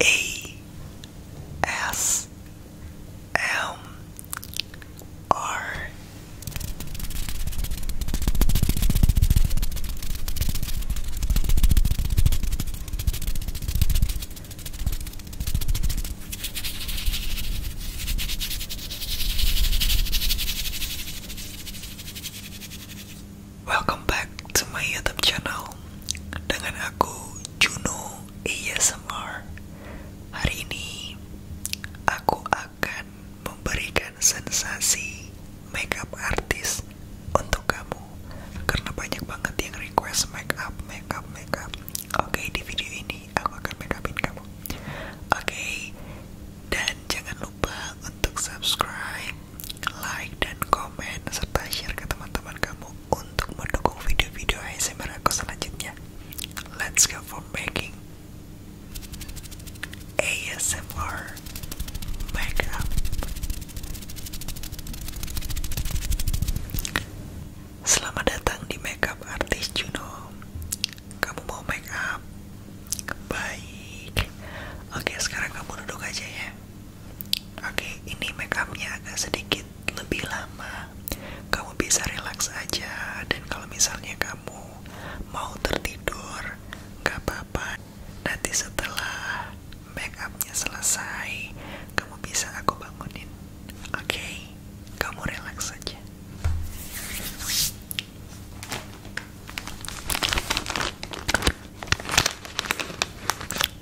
A S M R Welcome back semuanya my YouTube channel dengan aku Juno ASMR. Hari ini aku akan memberikan sensasi makeup artis untuk kamu karena banyak banget yang request makeup, makeup, makeup. Oke, di video ini aku akan makeupin kamu. Oke. dan jangan lupa untuk subscribe, like, dan komen serta share ke teman-teman kamu untuk mendukung video-video ASMR aku selanjutnya. Let's go for making ASMR makeup. Selamat datang di Makeup Artist Juno. Kamu mau makeup up? Baik. Oke, sekarang kamu duduk aja ya. Oke, okay, ini makeupnya agak sedikit lebih lama. Kamu bisa relax aja, dan kalau misalnya kamu mau tertidur, nggak apa-apa. Nanti setelah makeupnya selesai, kamu bisa aku bangunin. Oke, kamu relax aja.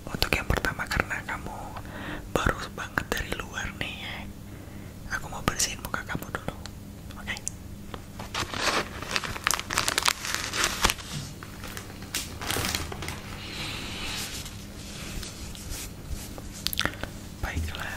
Untuk yang pertama karena kamu baru banget dari luar nih ya, Aku mau bersihin muka kamu dulu. Oke. Baiklah.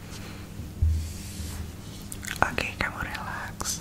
Oke, kamu relax.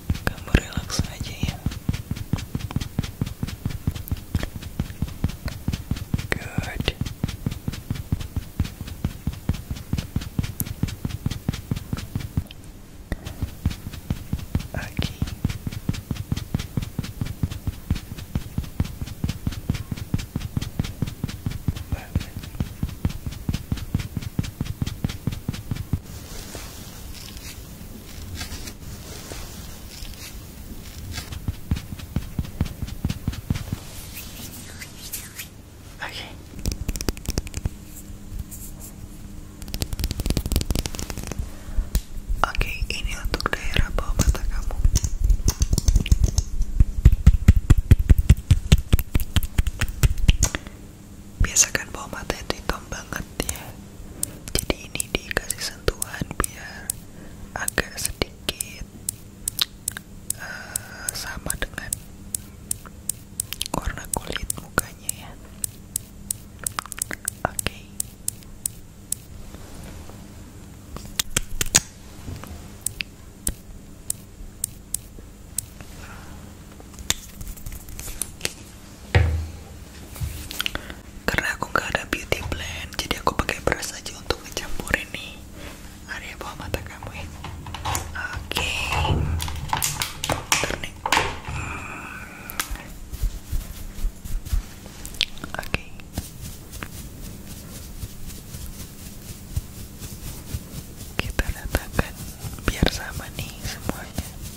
Come relax aja good Aquí. Vale. Okay. Oke, ini untuk daerah bawah mata kamu biasakan kan bawah mata itu hitam banget ya jadi ini dikasih sentuhan biar agak sedikit eh, sama dengan warna kulit mukanya ya Oke, karena aku nggak ada beauty blend jadi aku pakai brush aja untuk ngecampurin nih area bawah mata kamu ya oke okay. nih oke kita letakkan biar sama nih semuanya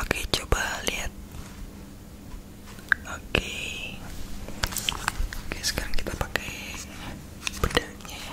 Oke, coba lihat. Oke. Oke, sekarang kita pakai bedanya ya.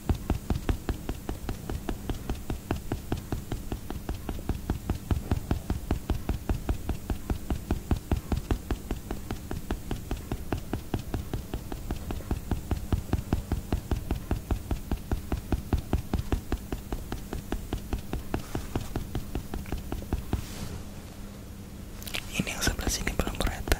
ini yang sebelah sini belum kereta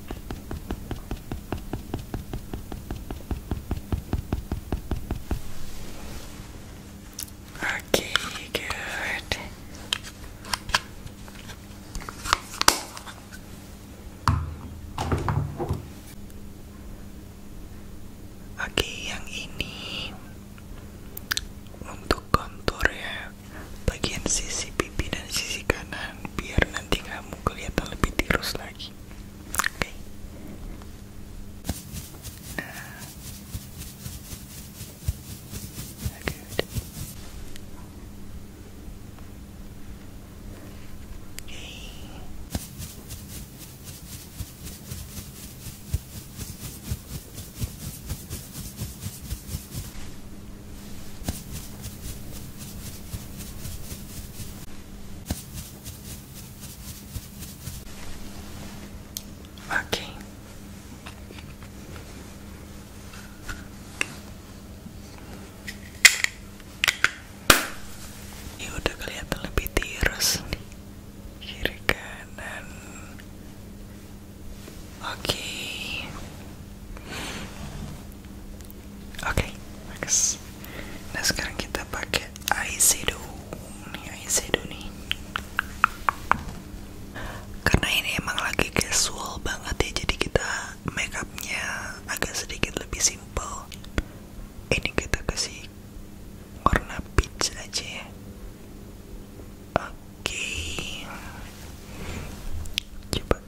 Okay, good. Oke, yang ini untuk kontur ya bagian sisi pipi dan sisi kanan biar nanti kamu kelihatan lebih tirus lagi oke okay. nah. Oke. Ini ya udah kelihatan lebih tirus kiri kanan Oke. Oke, bagus. Nah, sekarang kita pakai eyeshadow. Nih eyeshadow nih. Karena ini emang lagi casual banget ya, jadi kita makeupnya agak sedikit lebih simple. Ini kita kasih warna peach aja ya. Oke. Coba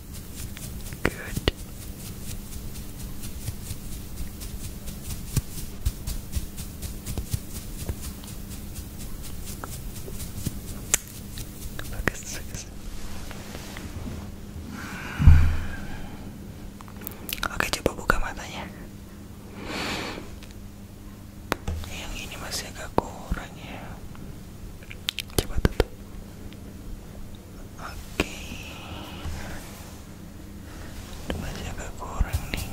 Good. Focus, Oke, coba buka matanya. Yang ini masih agak kurang ya. Coba tutup. Oke, cuma agak kurang nih.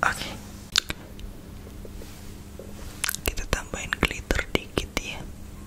Oke, kita tambahin glitter dikit ya.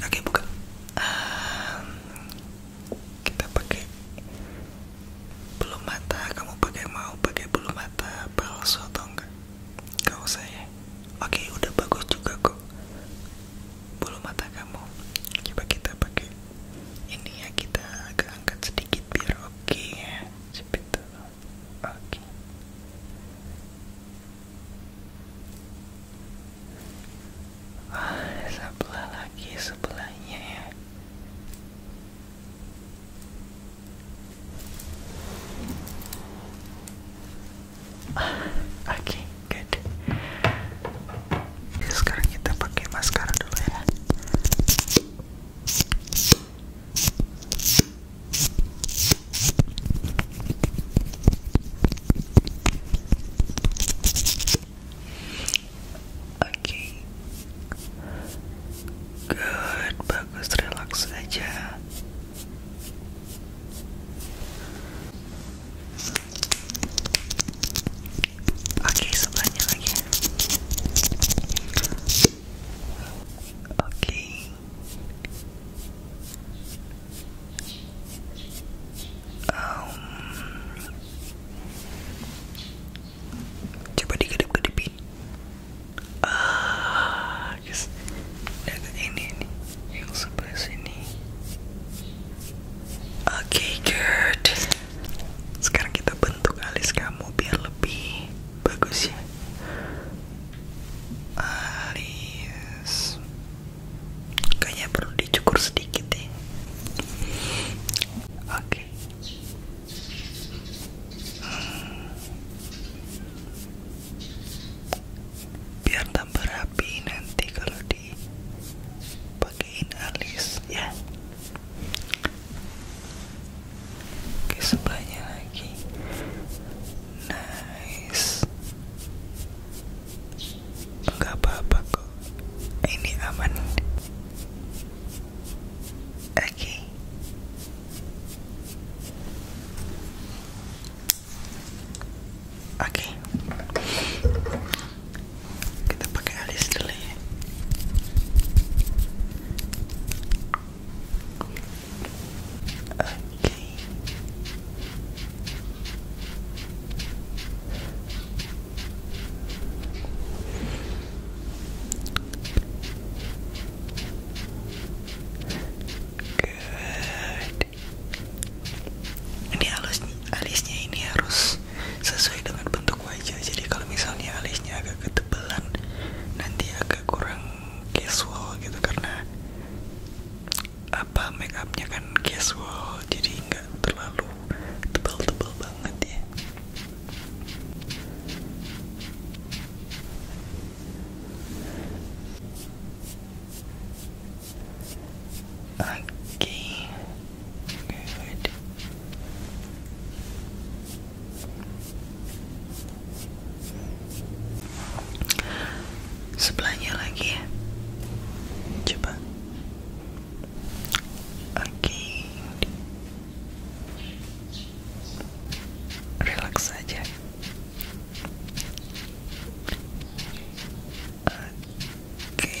oke buka um, kita pakai bulu mata kamu pakai mau pakai bulu mata palsu atau enggak gak usah ya oke udah bagus juga kok bulu mata kamu coba kita pakai ini ya kita agak angkat sedikit biar oke okay ya oke Ah, sebelah lagi sebelahnya ya. ah, oke good ya, sekarang kita pakai maskara dulu ya Oke, good bagus relax aja oke okay, lagi oke um, coba dikedip-kedipin ah yes. ini nih yang sebelah sini oke okay, good sekarang kita bentuk alis kamu biar lebih bagus ya alis Kayaknya perlu dicukur sedikit deh. Oke. Hmm. Biar tambah rapi nanti kalau dipakein alis ya. Oke sebanyak lagi. Nice nggak apa-apa kok ini aman oke oke kita pakai alis dulu ya oke ini alisnya ini harus sesuai dengan bentuk wajah. Jadi kalau misalnya alisnya agak ketebalan, nanti agak kurang casual gitu karena apa make upnya kan casual jadi nggak terlalu tebal-tebal banget ya oke okay. good sebelahnya lagi ya coba Oke, relax saja. Oke, good.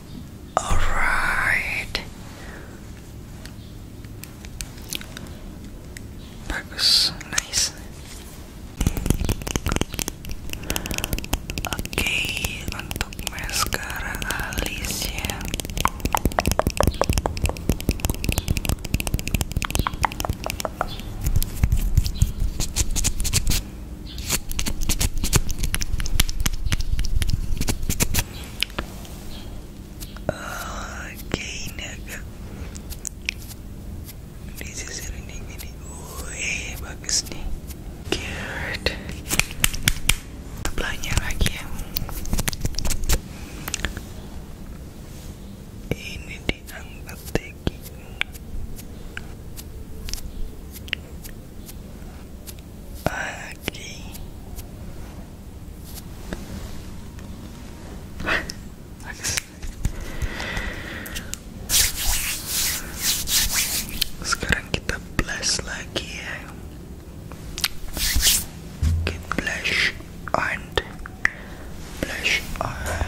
Alright. Bagus, nice. Oke, untuk maskara alis ya. Oke ini agak disisir ini gini Wih bagus nih Good Sebelahnya lagi ya Ini diangkat lagi aqui. Sekarang kita blast lagi ya. Okay, blush on, blush on.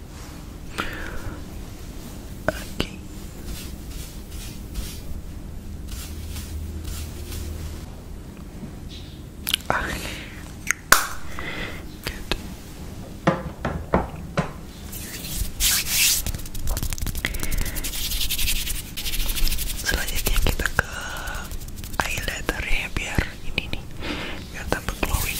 Selanjutnya kita ke eyeliner ya biar ini nih biar tambah glowing.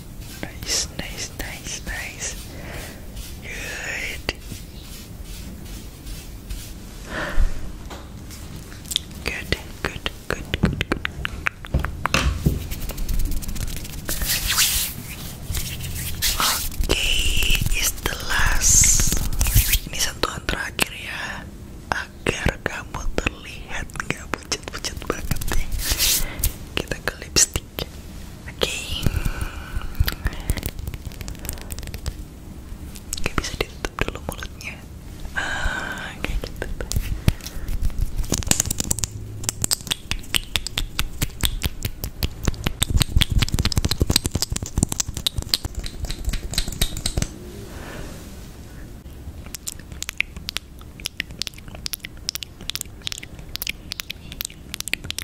Nice, nice, nice, nice. Good. Good, good, good, good, good. Ini sentuhan terakhir ya, agar kamu terlihat gak pucat-pucat banget ya. Kita ke lipstick cantik oke okay. bisa ditutup dulu mulutnya ah, kayak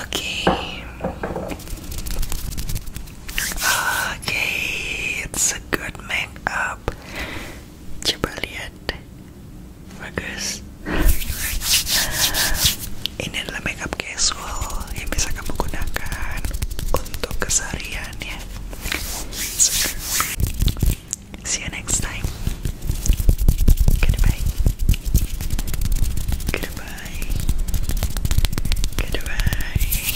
Okay. Okay, it's a good makeup. Coba bagus ini adalah makeup casual yang bisa kamu gunakan untuk keseharian ya. see you next time goodbye goodbye goodbye